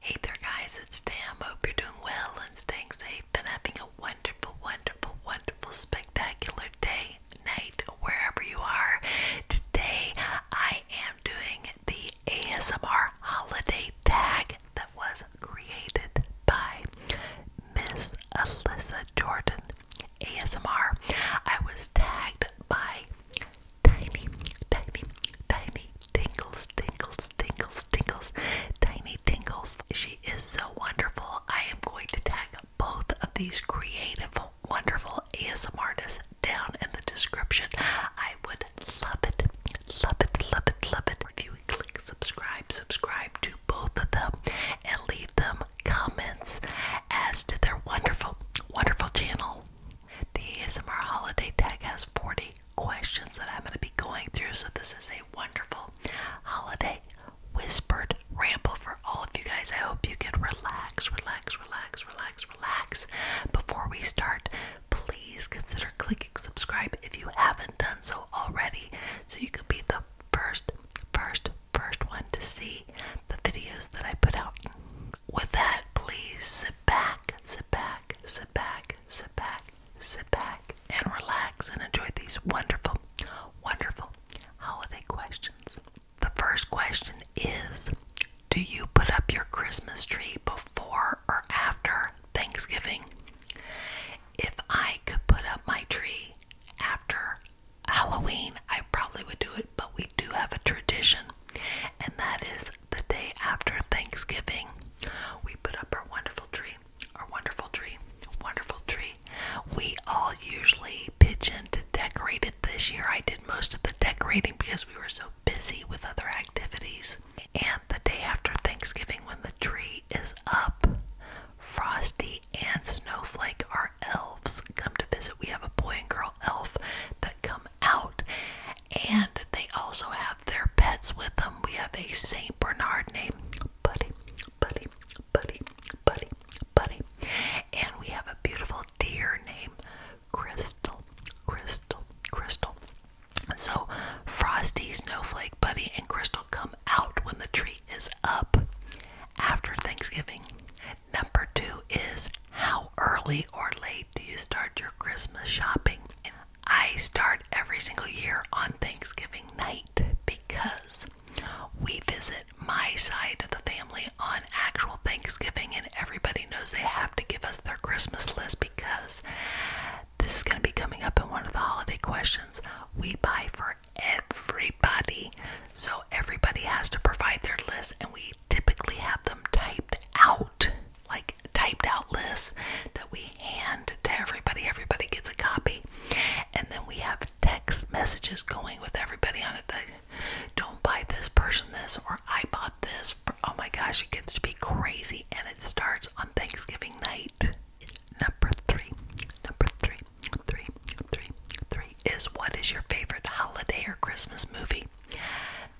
Hey there, guys, it's Tam. Hope you're doing well and staying safe and having a wonderful, wonderful, wonderful, spectacular day, night, wherever you are. Today, I am doing the ASMR holiday tag that was created by Miss Alyssa Jordan. ASMR. I was tagged by tiny, tiny, tiny tingles, tingles, tingles, tingles, tiny tingles. She is so wonderful. I am going to tag both of these creative, wonderful ASM artists down in the description. I would love it, love it, love it, love it. If you would click subscribe, subscribe to both of them and leave them comments as to their wonderful, wonderful channel. The ASMR holiday tag has 40 questions that I'm going to be going through. So, this is a wonderful holiday whispered ramble for all of you guys. I hope you can relax, relax, relax, relax, relax. Before we start, please consider clicking subscribe if you haven't done so already so you can be the first, first, first one to see the videos that I put out. With that, please sit back, sit back, sit sit back, sit back, sit back, and relax and enjoy these wonderful, wonderful holiday questions. The first question is Do you put up your Christmas tree before or after Thanksgiving? If I could put up my tree after Halloween, I probably would do it, but we do have a tradition, and that is the day after Thanksgiving, we put up our wonderful tree, our wonderful tree, wonderful tree. We all usually pitch in to decorate it this year. I did most of the decorating because we were so busy with other activities. And the day after Thanksgiving, when the tree is up, Frosty and Snowflake are elves come to visit. We have a boy and girl elf that come out. And they also have their pets with them. We have a St. Bernard named Buddy, Buddy, Buddy, Buddy, Buddy. And we have a beautiful deer named Crystal, Crystal, Crystal. So Frosty, Snowflake, Buddy, and Crystal come out when the tree is up after Thanksgiving. Number two is how early or late do you start your Christmas shopping? I start every single year on Thanksgiving night because we visit my side of the family on actual Thanksgiving, and everybody knows they have to give us their Christmas list because this is going to be coming up in one of the holiday questions. We buy for everybody, so everybody has to provide their list, and we typically have them typed out out, like typed out lists that we hand to everybody. Everybody gets a copy. And then we have text messages going with everybody on it that don't buy this person this or I bought this. Oh my gosh, it gets to be crazy. And it starts on Thanksgiving night. Number three, number three, three, three, three is what is your favorite holiday or Christmas movie?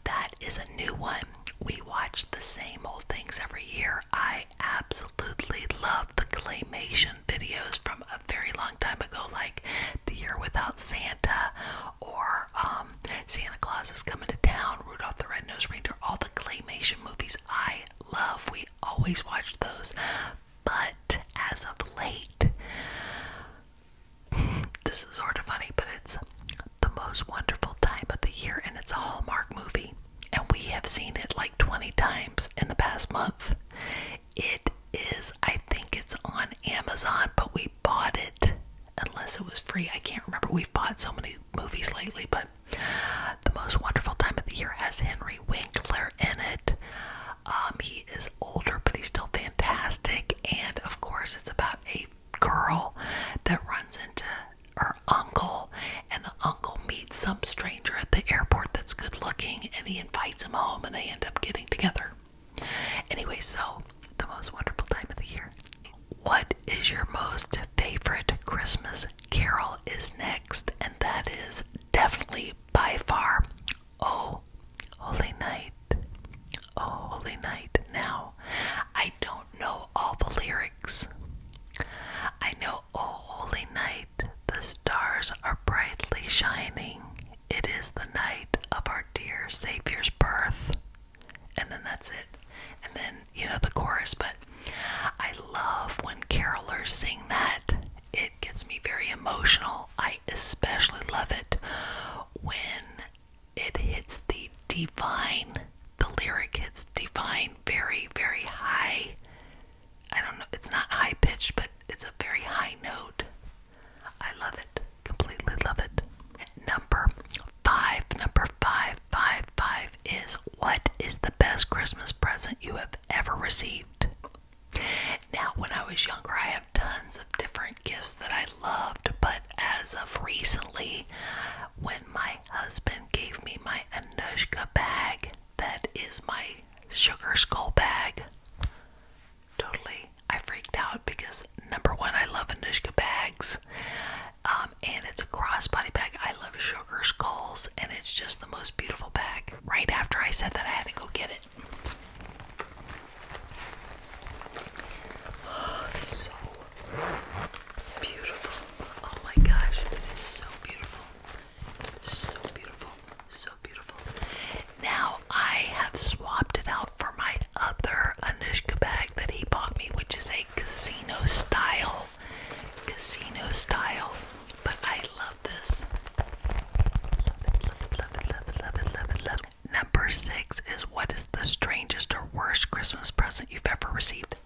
That is a new one. We watch the same old things every year. I absolutely love the claymation videos from a very long time ago, like The Year Without Santa or um, Santa Claus is Coming to Town, Rudolph the Red-Nosed Reindeer, all the claymation movies I love. We always watch those. But as of late, this is sort of funny, but it's the most wonderful time of the year, and it's a Hallmark movie. And we have seen it like 20 times in the past month. It is, I think it's on Amazon, but we bought it unless it was free. I can't remember. We've bought so many movies lately, but The Most Wonderful Time of the Year has Henry Winkler in it. Um, he is older, but he's still fantastic. And of course, it's about a girl that runs into her uncle, and the uncle meets some stranger at the airport that's good looking and he invites him home, and they end up getting together. Anyway, so the most wonderful time of the year. What is your most favorite Christmas carol is next, and that is definitely by far Oh Holy Night oh holy night. Now, I don't know all the lyrics. I know, oh holy night, the stars are brightly shining. It is the night of our dear Savior's birth. And then that's it. And then, you know, the chorus. But I love when carolers sing that. It gets me very emotional. I especially love it when it hits the divine, the lyric hits divine very, very high. I don't know, it's not high pitched, but it's a very high note. I love it, completely love it. Number five, number five, five, five is what is the best Christmas present you have ever received? Now, when I was younger, I have tons of different gifts that I loved, but as of recently, when my husband gave me my Anushka bag, that is my sugar skull bag. Totally, I freaked out because number one, I love Anushka bags, um, and it's a crossbody bag. I love sugar skulls, and it's just the most beautiful bag. Right after I said that, I had to go get it. Oh, so beautiful. Oh my gosh, that is so beautiful. So beautiful. So beautiful. Now I have swapped it out for my other Anushka bag that he bought me, which is a casino style. Casino style. But I love this. Love it, love it, love it, love it, love it, love it, love Number six is what is the strangest or worst Christmas present you've ever received?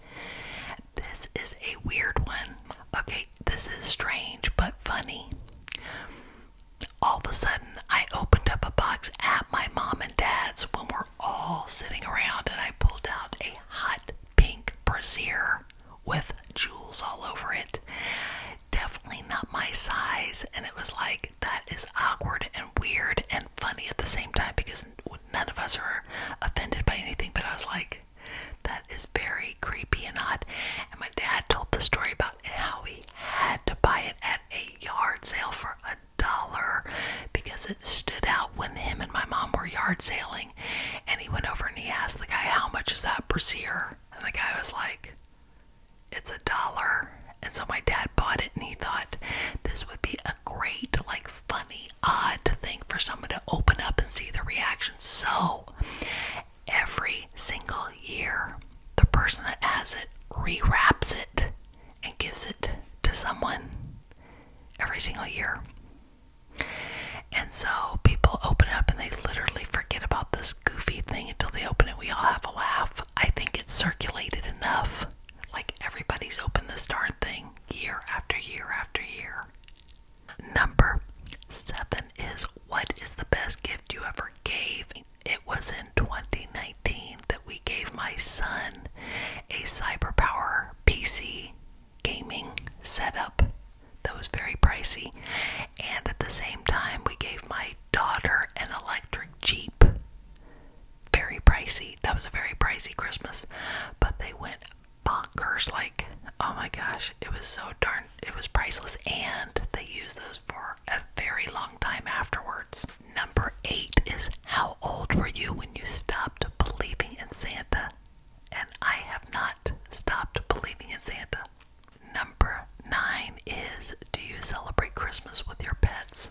This is a weird one. Okay, this is strange but funny. All of a sudden, I opened up a box at my mom and dad's when we're all sitting around, and I pulled out a hot pink brassiere with jewels all over it. Definitely not my size, and it was like that is awkward and weird funny at the same time because none of us are offended by anything. But I was like, that is very creepy and odd. And my dad told the story about how he had to buy it at a yard sale for a dollar because it stood out when him and my mom were yard sailing. And he went over and he asked the guy, How much is that brassiere? And the guy was like, it's a dollar. And so my dad bought it and he thought this would be a great, like, funny, odd thing for someone to open up and see the reaction. So every single year, the person that has it rewraps it and gives it to someone every single year. And so people open it up and they literally forget about this goofy thing until they open it. We all have a laugh I think it's circulated enough. Like everybody's opened this darn thing year after year after year. Number seven is what is the best gift you ever gave? It was in 2019 that we gave my son a CyberPower PC gaming setup that was very pricey. And at the same time, we gave my daughter an electric Jeep very pricey. That was a very pricey Christmas, but they went bonkers. Like, oh my gosh, it was so darn, it was priceless. And they used those for a very long time afterwards. Number eight is how old were you when you stopped believing in Santa? And I have not stopped believing in Santa. Number nine is do you celebrate Christmas with your pets?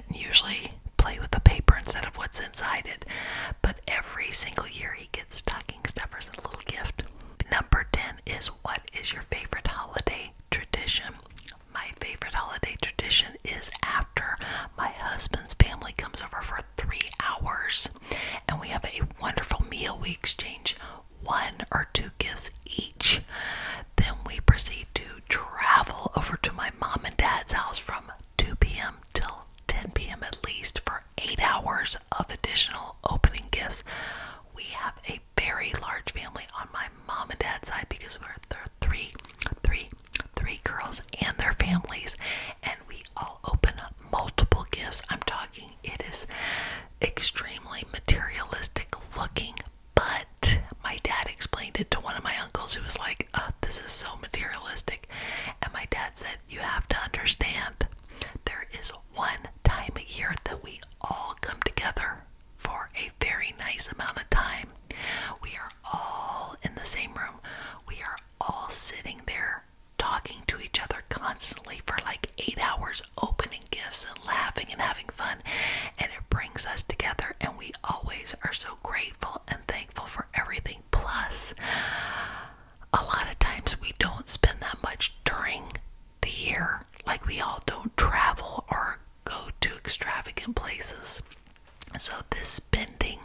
and usually play with the paper instead of what's inside it. But every single year he gets stocking stuffers and a little gift. Number 10 is what is your favorite holiday tradition? My favorite holiday tradition is after my husband's family comes over for three hours and we have a wonderful meal. We exchange one or two gifts each. Then we proceed to travel over to my mom and dad's house from 2 p.m. till 10 p.m. at least for eight hours of additional opening gifts. We have a very large family on my mom and dad's side because we're there are three, three, three girls and their families, and we all open multiple gifts. I'm talking, it is extremely materialistic looking, but my dad explained it to one of my uncles who was like, This is so materialistic. And my dad said, You have to understand, there is one time a year that we all come together for a very nice amount of time. We are all in the same room, we are all sitting there talking to each other constantly for like eight hours, opening gifts and laughing and having fun. And it brings us together, and we always are so grateful and thankful for everything. Plus, a lot of times we don't spend that much during the year. Like, we all don't travel or go to extravagant places. So, this spending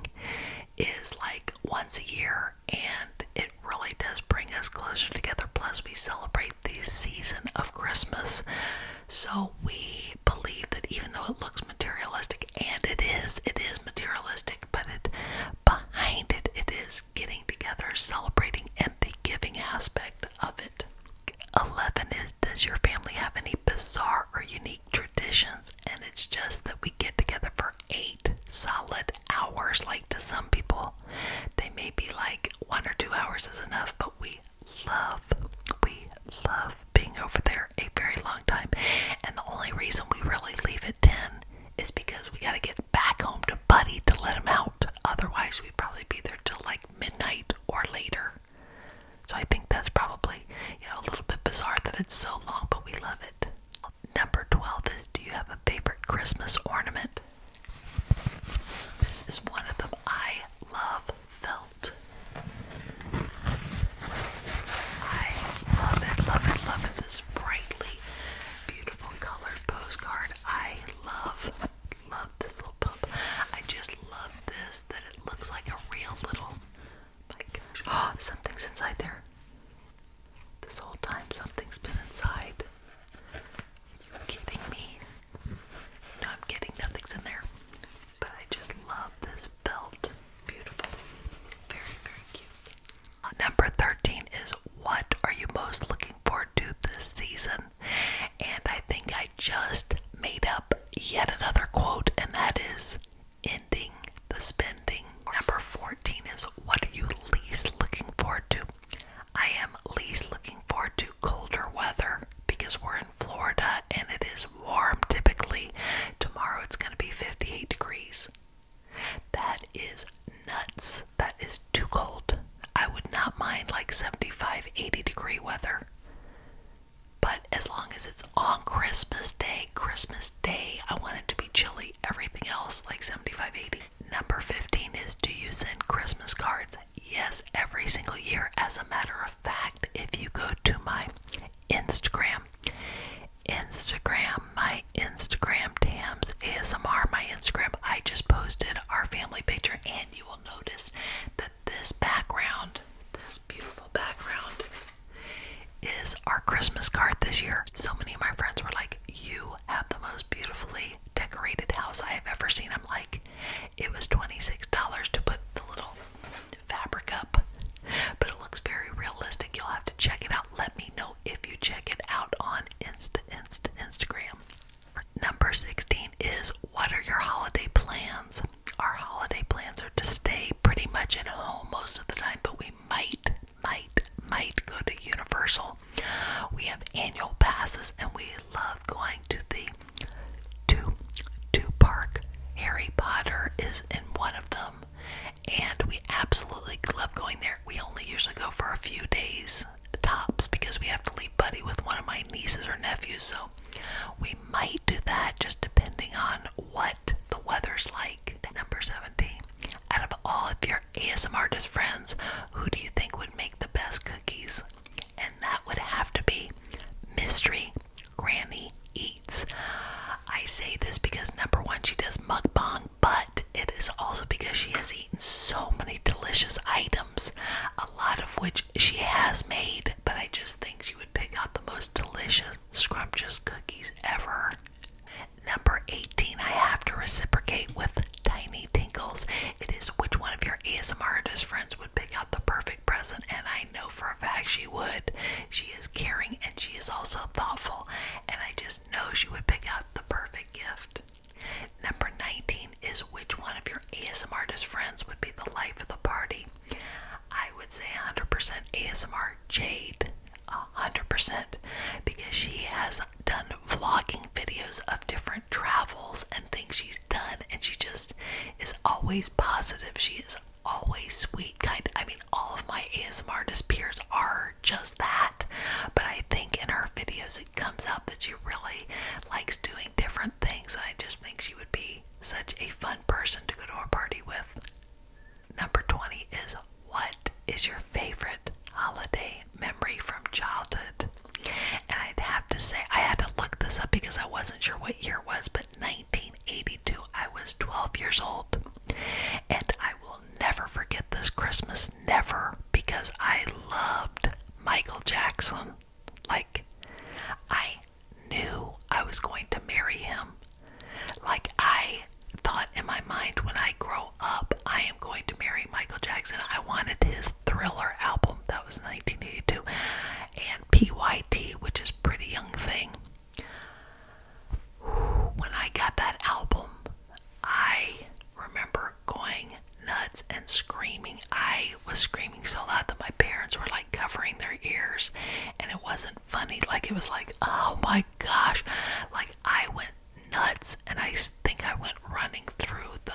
is like once a year and it really does bring us closer together. Plus, we celebrate the season of Christmas. So we believe that even though it looks materialistic, and it is, it is materialistic, but it behind it, it is getting together, celebrating, and the giving aspect of it. 11 is Does your family have any bizarre or unique traditions? And it's just that we get together for eight solid hours, like to some people. They may be like one or two hours is enough, but we love, we love being over there a very long time. And the only reason we really leave at 10 is because we got to get back home to Buddy to let him out. Otherwise, we'd probably be there till like midnight or later. So I think that's probably, you know, a little bit bizarre that it's so long, but we love it. Number 12 is Do you have a favorite Christmas ornament? This is one of them. I love Phil. I love it, love it, love it. This brightly beautiful colored postcard. I love, love this little pump. I just love this that it looks like a real little. My gosh, oh, something's inside there. This whole time, something's been inside. Are kidding me? I'm kidding, nothing's in there. But I just love this felt. Beautiful. Very, very cute. Uh, number 13 is what are you most looking forward to this season? And I think I just made up yet another quote, and that is ending the spending. Number 14 is what are you least looking forward to? I am least looking forward to colder weather because we're in Florida and it is warm typically. Tomorrow it's going to be 58 degrees. That is nuts. That is too cold. I would not mind like 75, 80 degree weather. But as long as it's on Christmas Day, Christmas Day, I want it to be chilly. Everything else, like 75, 80. Number 15 is do you send Christmas cards? yes, every single year. As a matter of fact, if you go to my Instagram, Instagram, my Instagram, Tams ASMR, my Instagram, I just posted our family picture, and you will notice that this background, this beautiful background, is our Christmas card this year. So many of my friends were like, You have the most beautifully decorated house I have ever seen. I'm like, It was $26 to put the little fabric up, but it looks very realistic. You'll have to check it out. Let me know if you check it out on Insta, Insta, Instagram. Number 16 is what are your holiday plans? Our holiday plans are to stay pretty much at home most of the time, but we might, might, might go to Universal. We have annual passes and we love going to the two two park Harry Potter is in one of them and we absolutely love going there. We only usually go for a few days tops because we have to leave Buddy with one of my nieces or nephews so we might do that just depending on what the weather's like. Number 17. Out of all of your ASMR friends, who do you think would make the best cookies? and that would have to be Mystery Granny Eats. I say this because number one, she does mug mukbang, but it is also because she has eaten so many delicious items, a lot of which she has made, but I just think she would pick out the most delicious, scrumptious cookies ever. Number 18, I have to reciprocate with Tiny Tinkles. It is which one of your ASMR artist friends would pick out the perfect present, and I know for a fact she would. She is caring and she is also thoughtful, and I just know she would pick out the perfect gift. Number 19 is which one of your ASMR artist friends would be the life of the party? I would say 100% ASMR Jade. 100% because she has done vlogging videos of different travels and things she's done and she just is always positive. She is always sweet, kind. I mean, all of my ASMR peers are just that, but I think in her videos it comes out that she really likes doing different things, and I just think she would be such a fun person to go to a party with. Number 20 is what is your favorite holiday memory from childhood? And I'd have to say, I had to look this up because I wasn't sure what what year was, but 1982. I was 12 years old. And I will never forget this Christmas, never, because I loved Michael Jackson. Like, I knew I was going to marry him. Like, I thought in my mind when I grow up, I am going to marry Michael Jackson. I wanted his thriller album, that was 1982. And PYT, which is Pretty Young Thing. When I got that album, I remember going nuts and screaming. I was screaming so loud that my parents were like covering their ears, and it wasn't funny. Like, it was like, oh my gosh. Like, I went nuts and I think I went running through the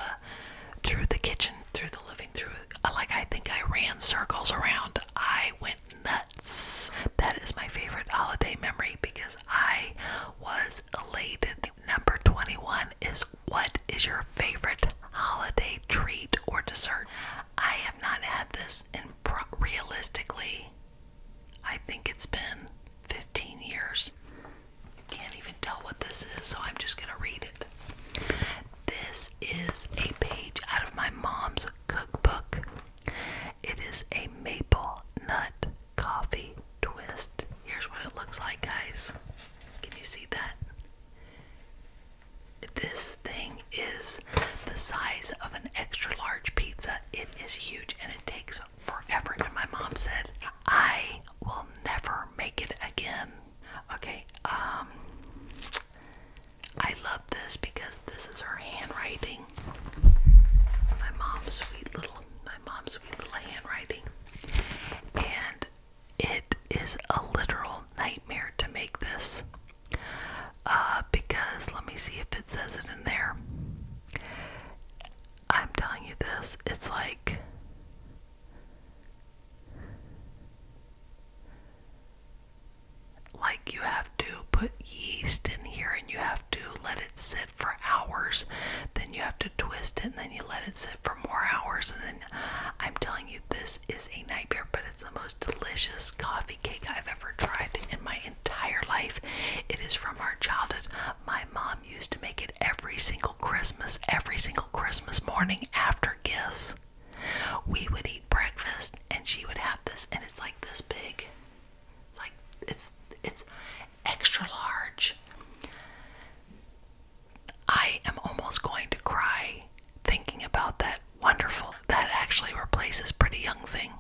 through the kitchen, through the living, through like I think I ran circles around. I went nuts. That is my favorite holiday memory because I was elated. Number 21 is what is your favorite holiday treat or dessert? I have not had this and realistically. I think it's been 15 years. Can't even tell what this is, so I'm just going to read it. This is a page out of my mom's cookbook. It is a maple nut coffee twist. Here's what it looks like, guys. Can you see that? This thing is the size of an extra large pizza. It is huge and it takes forever. And my mom said, I will never make it again. Okay, um I love this because this is her handwriting. My mom's sweet little my mom's sweet little handwriting. And it is a literal nightmare to make this. Uh because let me see if it says it in there. I'm telling you this, it's like like, you have to put yeast in here and you have to let it sit for hours. Then you have to twist it and then you let it sit for more hours. And then I'm telling you, this is a nightmare, but it's the most delicious coffee cake I've ever tried in my entire life. It is from our childhood. My mom used to make it every single Christmas, every single Christmas morning after gifts. We would eat breakfast and she would have this and it's like this big. Like it's it's extra large. I am almost going to cry thinking about that wonderful that actually replaces pretty young thing.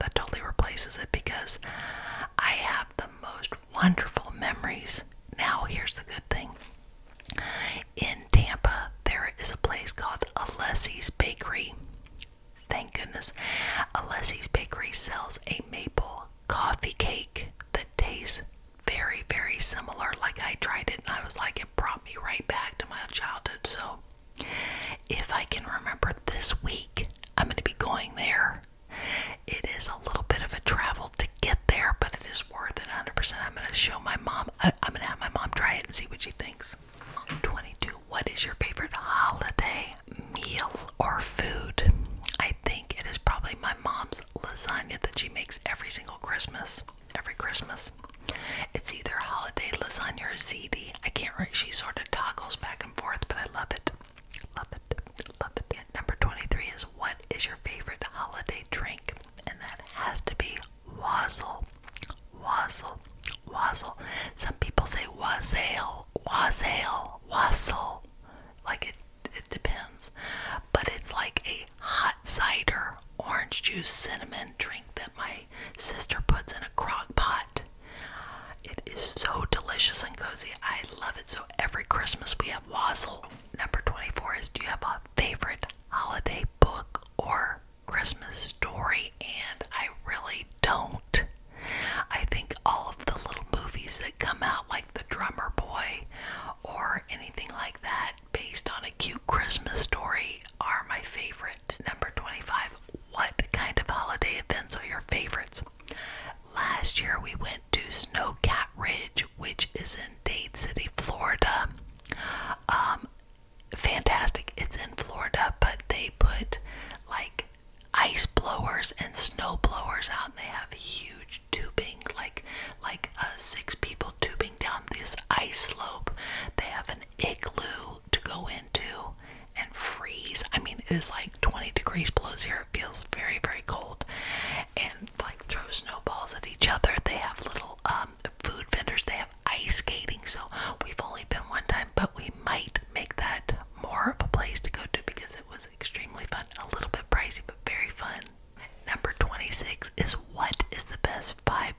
That totally replaces it because I have the most wonderful memories. Now here's the good thing. In Tampa, there is a place called Alessi's Bakery. Thank goodness. Alessi's Bakery sells a maple coffee cake that tastes very, very similar. Like I tried it and I was like, it brought me right back to my childhood. So if I can remember this week, I'm going to be going there. It is a little bit of a travel to get there, but it is worth it 100%. I'm going to show my mom. Uh, I, am going to have my mom try it and see what she thinks. 22. What is your favorite holiday meal or food? I think it is probably my mom's lasagna that she makes every single Christmas. Every Christmas. It's either holiday lasagna or ziti. I can't really. She sort of toggles back and forth, but I love it. Love it. Love it. Number 23 is what is your favorite holiday drink? and that has to be wassail. Wassail. Wassail. Some people say wassail, wassail, wassail. Like it, it depends. But it's like a hot cider, orange juice, cinnamon drink that my sister puts in a crock pot. It is so delicious and cozy. I love it. So every Christmas we have wassail. Number 24 is do you have a favorite holiday book or Christmas story, and I really don't. I think all of the little movies that come out, like The Drummer Boy or anything like that, based on a cute Christmas story, are my favorite. Number 25 What kind of holiday events are your favorites? Last year we went to Snowcat Ridge which is in Dade City, Florida. Um, fantastic. It's in Florida, but they put like ice blowers and snow blowers out and they have huge tubing like like uh, six people tubing down this ice slope. They have an igloo to go into and freeze. I mean, it is like 20 degrees below zero. It feels very, very cold. And like throw snowballs at each other. They have little um, food vendors. They have ice skating. So we've only been one time, but we might make that more of a place to go to because it was extremely fun. A little bit pricey, but very fun. Number 26 is what is the best $5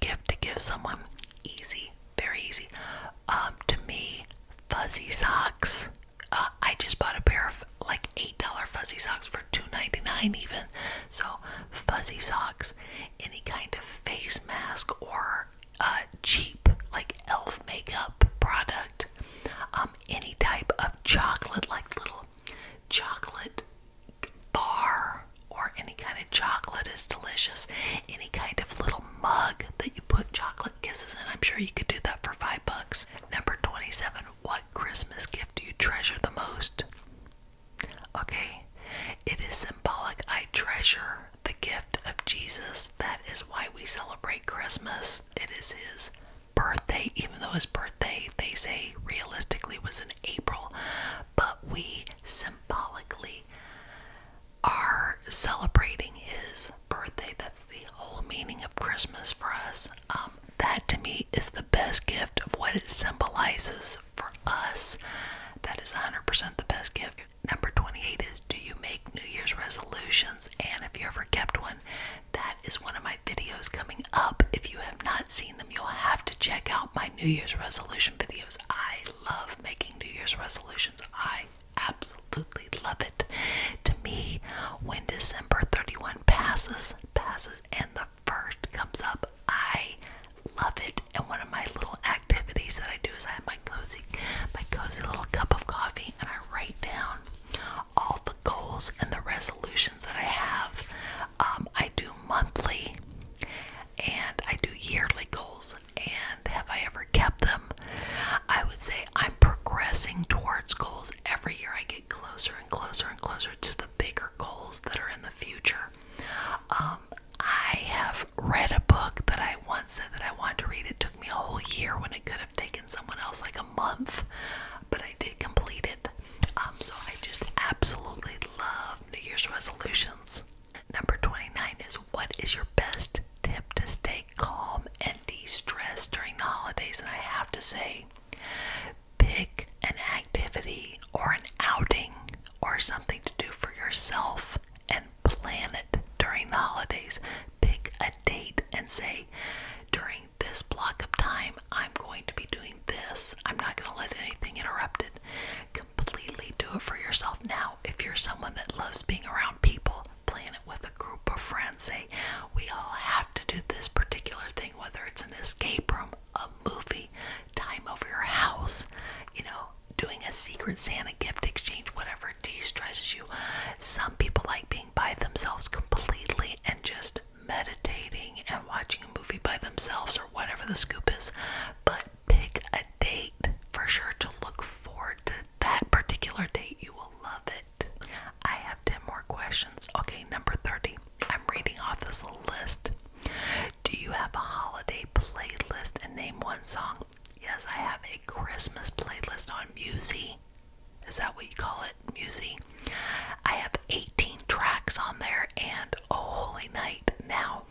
gift to give someone? Easy, very easy. Um, to me, fuzzy socks. Uh, I just bought a pair of like eight dollar fuzzy socks for two ninety nine even. So fuzzy socks, any kind of face mask or uh, cheap like elf makeup product, um, any type of chocolate like little chocolate bar or any kind of chocolate is delicious. Any kind of little mug that you put chocolate kisses in, I'm sure you could do that for five bucks. Number 27 what Christmas gift do you treasure the most? Okay, it is symbolic. I treasure the gift of Jesus. That is why we celebrate Christmas. It is his birthday, even though his birthday, they say, realistically was in April. But we symbolically are celebrating his birthday. That's the whole meaning of Christmas for us. Um, that to me is the best gift of what it symbolizes for us. That is 100% the best gift. Number 28 is Do you make New Year's resolutions? And if you ever kept one, that is one of my videos coming up. If you have not seen them, you'll have to check out my New Year's resolution videos. I love making New Year's resolutions. I absolutely love it. To me, when December 31 passes, passes, and the first comes up. I love it, and one of my little activities that I do is I have my cozy, my cozy little cup of coffee, and I write down all the goals and the resolutions that I have. Um, I do monthly, and I do yearly goals. And have I ever kept them? I would say I'm progressing towards goals every year. I get closer and closer and closer to the bigger goals that are in the future. Um, I have read a book that I once said that I wanted to read. It took me a whole year when it could have taken someone else like a month, but I did complete it. Um, so I just absolutely love New Year's resolutions. Number 29 is what is your best tip to stay calm and de stressed during the holidays? And I have to say, Pick an activity or an outing or something to do for yourself and plan it during the holidays. Pick a date and say, during this block of time, I'm going to be doing this. I'm not going to let anything interrupt it. Completely do it for yourself now. If you're someone that loves being around people, plan it with a group of friends. Say, we all have to do this particular thing, whether it's an escape room, a movie, time over your house, you know, doing a secret Santa gift exchange, whatever de stresses you. Some people like being by themselves completely and just meditating and watching a movie by themselves or whatever the scoop is. But pick a date for sure to look forward to that particular date. You will love it. I have. 10 more questions. Okay, number 30. I'm reading off this list. Do you have a holiday playlist and name one song? Yes, I have a Christmas playlist on Musi. Is that what you call it? Musi? I have 18 tracks on there and Oh Holy Night. Now,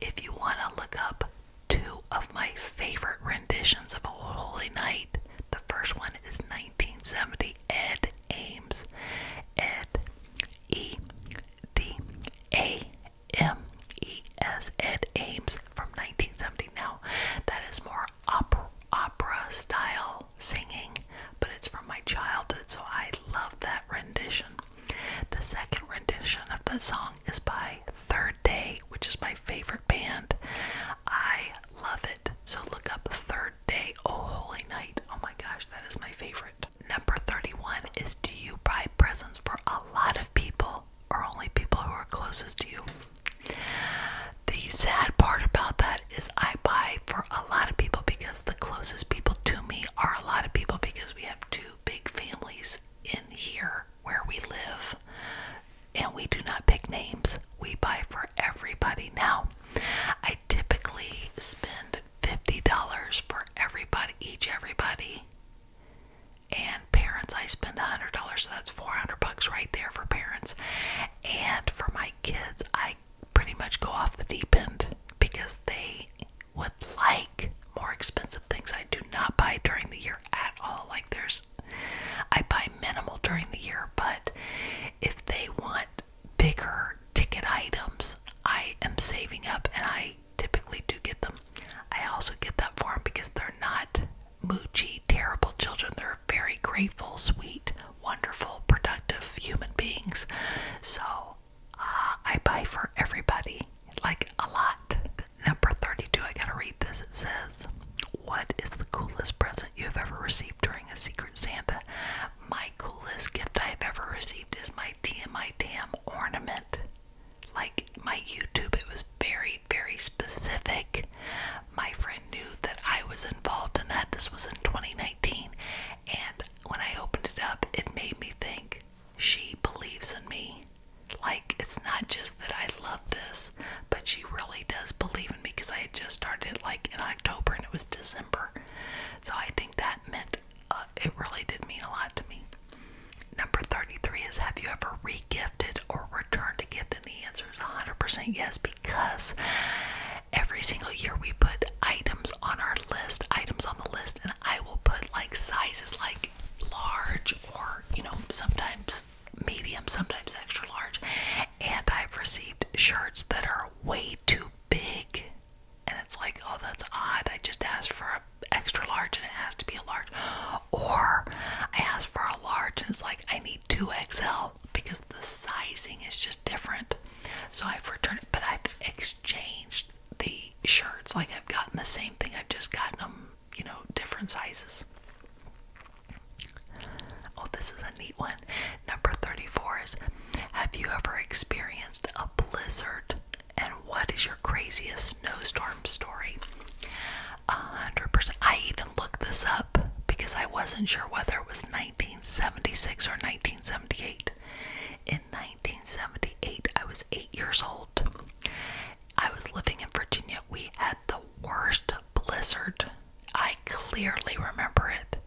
if you want to look up two of my favorite renditions of Oh Holy Night, the first one is 1970 Ed Ames names Ed E D A M E S Ed Ames from 1970. Now that is more opera, opera style singing, but it's from my childhood, so I love that rendition. The second rendition of the song is by Third Day, which is my favorite band. I love it. So look up Third day, oh holy night. Oh my gosh, that is my favorite. Number 31 is do you buy presents for a lot of people or only people who are closest to you? The sad part about that is I buy for a lot of people because the closest people to me are a lot of people because we have two big families in here where we live and we do not pick names we buy for everybody now. I typically spend $50 for everybody, each everybody. And parents, I spend $100, so that's 400 bucks right there for parents. And for my kids, I pretty much go off the deep end because they would like more expensive things I do not buy during the year at all. Like there's I buy minimal during the year, but if they want bigger ticket items I am saving up and I typically do get them. I also get that for them because they're not moochy, terrible children. They're very grateful, sweet, wonderful, productive human beings. So uh, I buy for everybody, like a lot. Number 32, I gotta read this. It says, What is the coolest present you have ever received during a Secret Santa? My coolest gift I've ever received is my TMI Tam ornament. Like my YouTube, it was very, very specific. My friend knew that I was involved in that. This was in 2019. And when I opened it up, it made me think she believes in me. Like, it's not just that I love this, but she really does believe in me because I had just started it. like in October and it was December. So I think that meant uh, it really did mean a lot to me. Number 33 is Have you ever regifted or returned a gift? And the answer is 100% yes, because every single year we put items on our list, items on the list, and I will put like sizes like large or, you know, sometimes medium, sometimes extra large and I've received shirts that are way too big. And it's like, oh, that's odd. I just asked for an extra large and it has to be a large. Or I asked for a large and it's like, I need 2XL because the sizing is just different. So I've returned it, but I've exchanged the shirts. Like I've gotten the same thing, I've just gotten them, you know, different sizes. Oh, this is a neat one. Number 34 is Have you ever experienced a blizzard? And what is your craziest snowstorm story? 100%. I even looked this up because I wasn't sure whether it was 1976 or 1978. In 1978, I was eight years old. I was living in Virginia. We had the worst blizzard. I clearly remember it.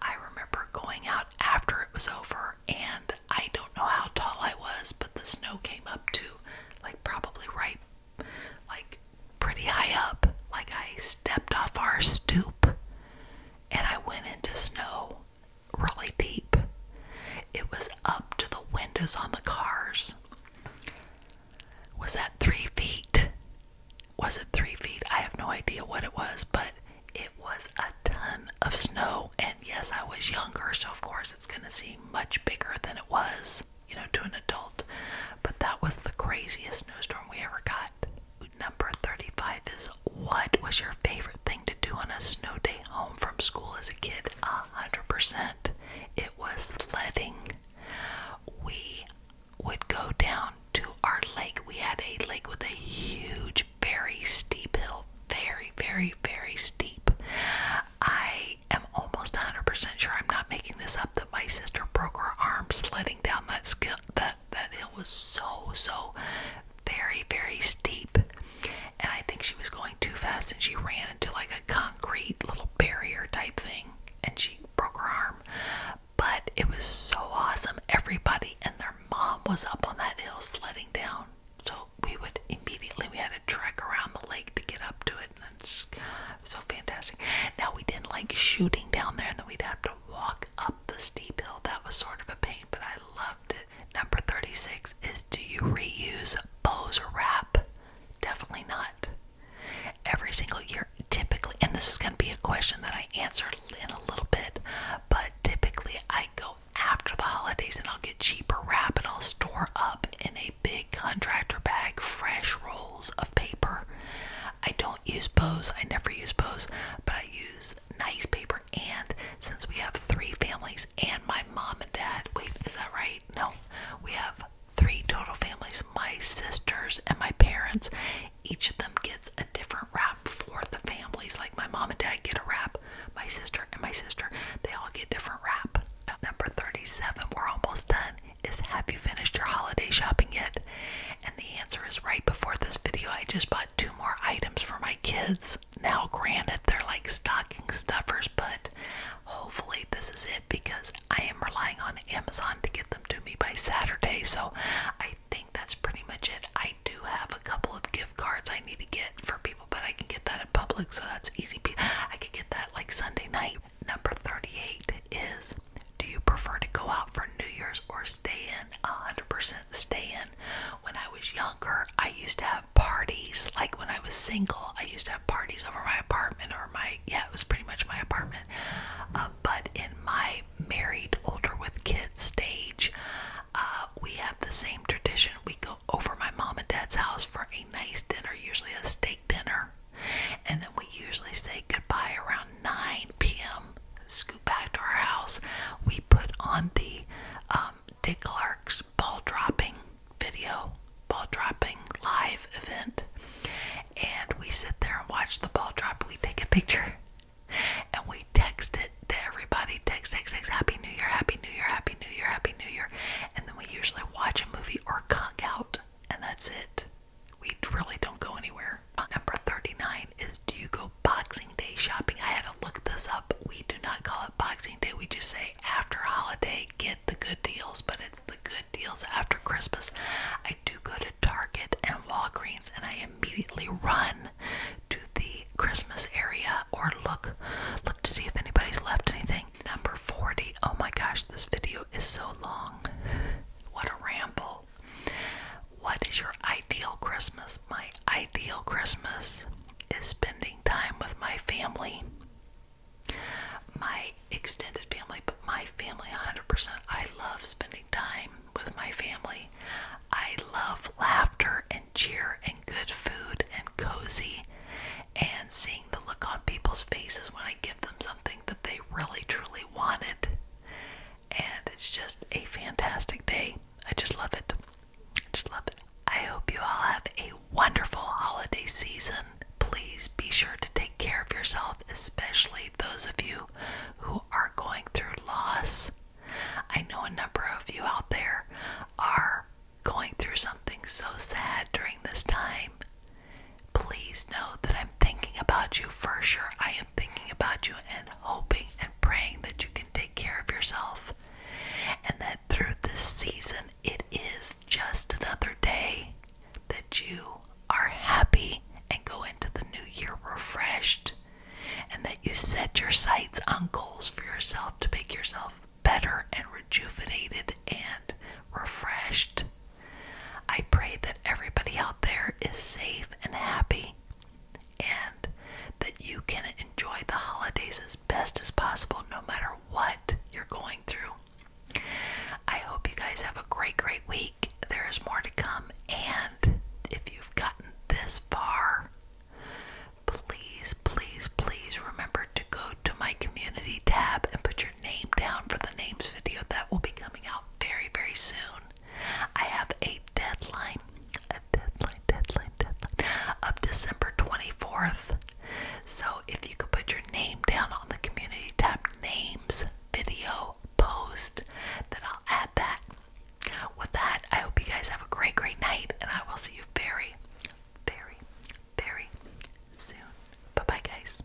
I remember going out after it was over, and I don't know how tall I was, but the snow came up to like probably right, like pretty high up. Like I stepped off our stoop and I went into snow really deep. It was up to the windows on the cars. Was that three feet? was it three feet? I have no idea what it was, but it was a ton of snow. And yes, I was younger, so of course it's going to seem much bigger than it was, you know, to an adult. But that was the craziest snowstorm we ever got. Number 35 is what was your favorite thing to do on a snow day home from school as a kid? 100%. It was sledding. We would go down to our lake. We had a lake with a huge, very steep hill. Very, very, very steep. I am almost 100% sure I'm not making this up that my sister broke her arm sledding down that skill that that hill was so so very very steep. And I think she was going too fast and she ran into like a concrete little barrier type thing and she broke her arm. But it was so awesome. Everybody and their mom was up on that hill sledding down. So we would immediately we had to trek around the lake to get up to it, and it's so fantastic. Now we didn't like shooting down there, and then we'd have to walk up the steep hill. That was sort of a pain, but I loved it. Number thirty-six is: Do you reuse bows or wrap? Definitely not. Every single year, typically, and this is going to be a question that I answer in a little bit, but typically I go after the holidays and I'll get cheaper wrap and I'll store up in a big contractor bag fresh rolls of paper. I don't use bows, I never use bows, but I use nice paper. And since we have three families and my mom and dad, wait, is that right? No, we have three total families my sisters and my parents each of them gets a different wrap for the families. Like my mom and dad get a wrap, my sister and my sister, they all get different wrap. Number 37, we're almost done, is have you finished your holiday shopping yet? And the answer is right before this video, I just bought two more items for my kids. Now, granted, they're like stocking stuffers, but hopefully this is it because I am relying on Amazon to get them to me by Saturday. So I think that's pretty much it. I do have a couple of gift cards I need to get for people, but I can get that at public, so that's easy. I could get that like Sunday night. Number 38 is do you prefer to go out for New Year's or stay in? 100% stay in. When I was younger, I used to have parties. Like when I was single, I used to have parties over my apartment or my, yeah, it was pretty much my apartment. Um, but in my married, older with kids stage, uh, we have the same tradition. We go over my mom and dad's house for a nice dinner, usually a steak dinner, and then we usually say goodbye around 9 p.m. Scoot back to our house. We put on the um, Dick Clark's ball dropping video, ball dropping live event, and we sit there and watch the ball drop. We take a picture and we text it to everybody. Text, text, text, Happy New Year, Happy New Year, Happy New Year, Happy New Year. And then we usually watch a movie or conk out, and that's it. We really don't go anywhere. Number 39 is Do you go Boxing Day shopping? I had to look this up. We do not call it Boxing Day, we just say after holiday, get the good deals, but it's the good deals after Christmas, I do go to Target and Walgreens and I immediately run to the Christmas area or look look to see if anybody's left anything. Number 40. Oh my gosh, this video is so long. What a ramble. What is your ideal Christmas? My ideal Christmas is spending time with my family. My extended family, but my family 100%. I love spending time with my family. I love laughter and cheer and good food and cozy and seeing the look on people's faces when I give them something that they really truly wanted. And it's just a fantastic day. I just love it. I just love it. I hope you all have a wonderful holiday season. Please be sure to take care of yourself, especially those of you who are going through loss. I know a number of you out there are going through something so sad during this time. Please know that I'm thinking about you for sure. I am thinking about you and hoping and praying that you can take care of yourself and that through this season it is just another day that you are happy and go into the new year refreshed, and that you set your sights on goals for yourself to make yourself better and rejuvenated and refreshed. I pray that everybody out there is safe and happy and that you can enjoy the holidays as best as possible no matter what you're going through. I hope you guys have a great, great week there is more to come. And if you've gotten this far, please, please, please remember to go to my community tab and put your name down for the names video that will be coming out very, very soon. I have a deadline, a deadline, deadline, deadline of December 24th. So if you could put your name down on the community tab names video, post, then I'll add that. With that, I hope you guys have a great, great night, and I will see you very, very, very soon. Bye bye, guys.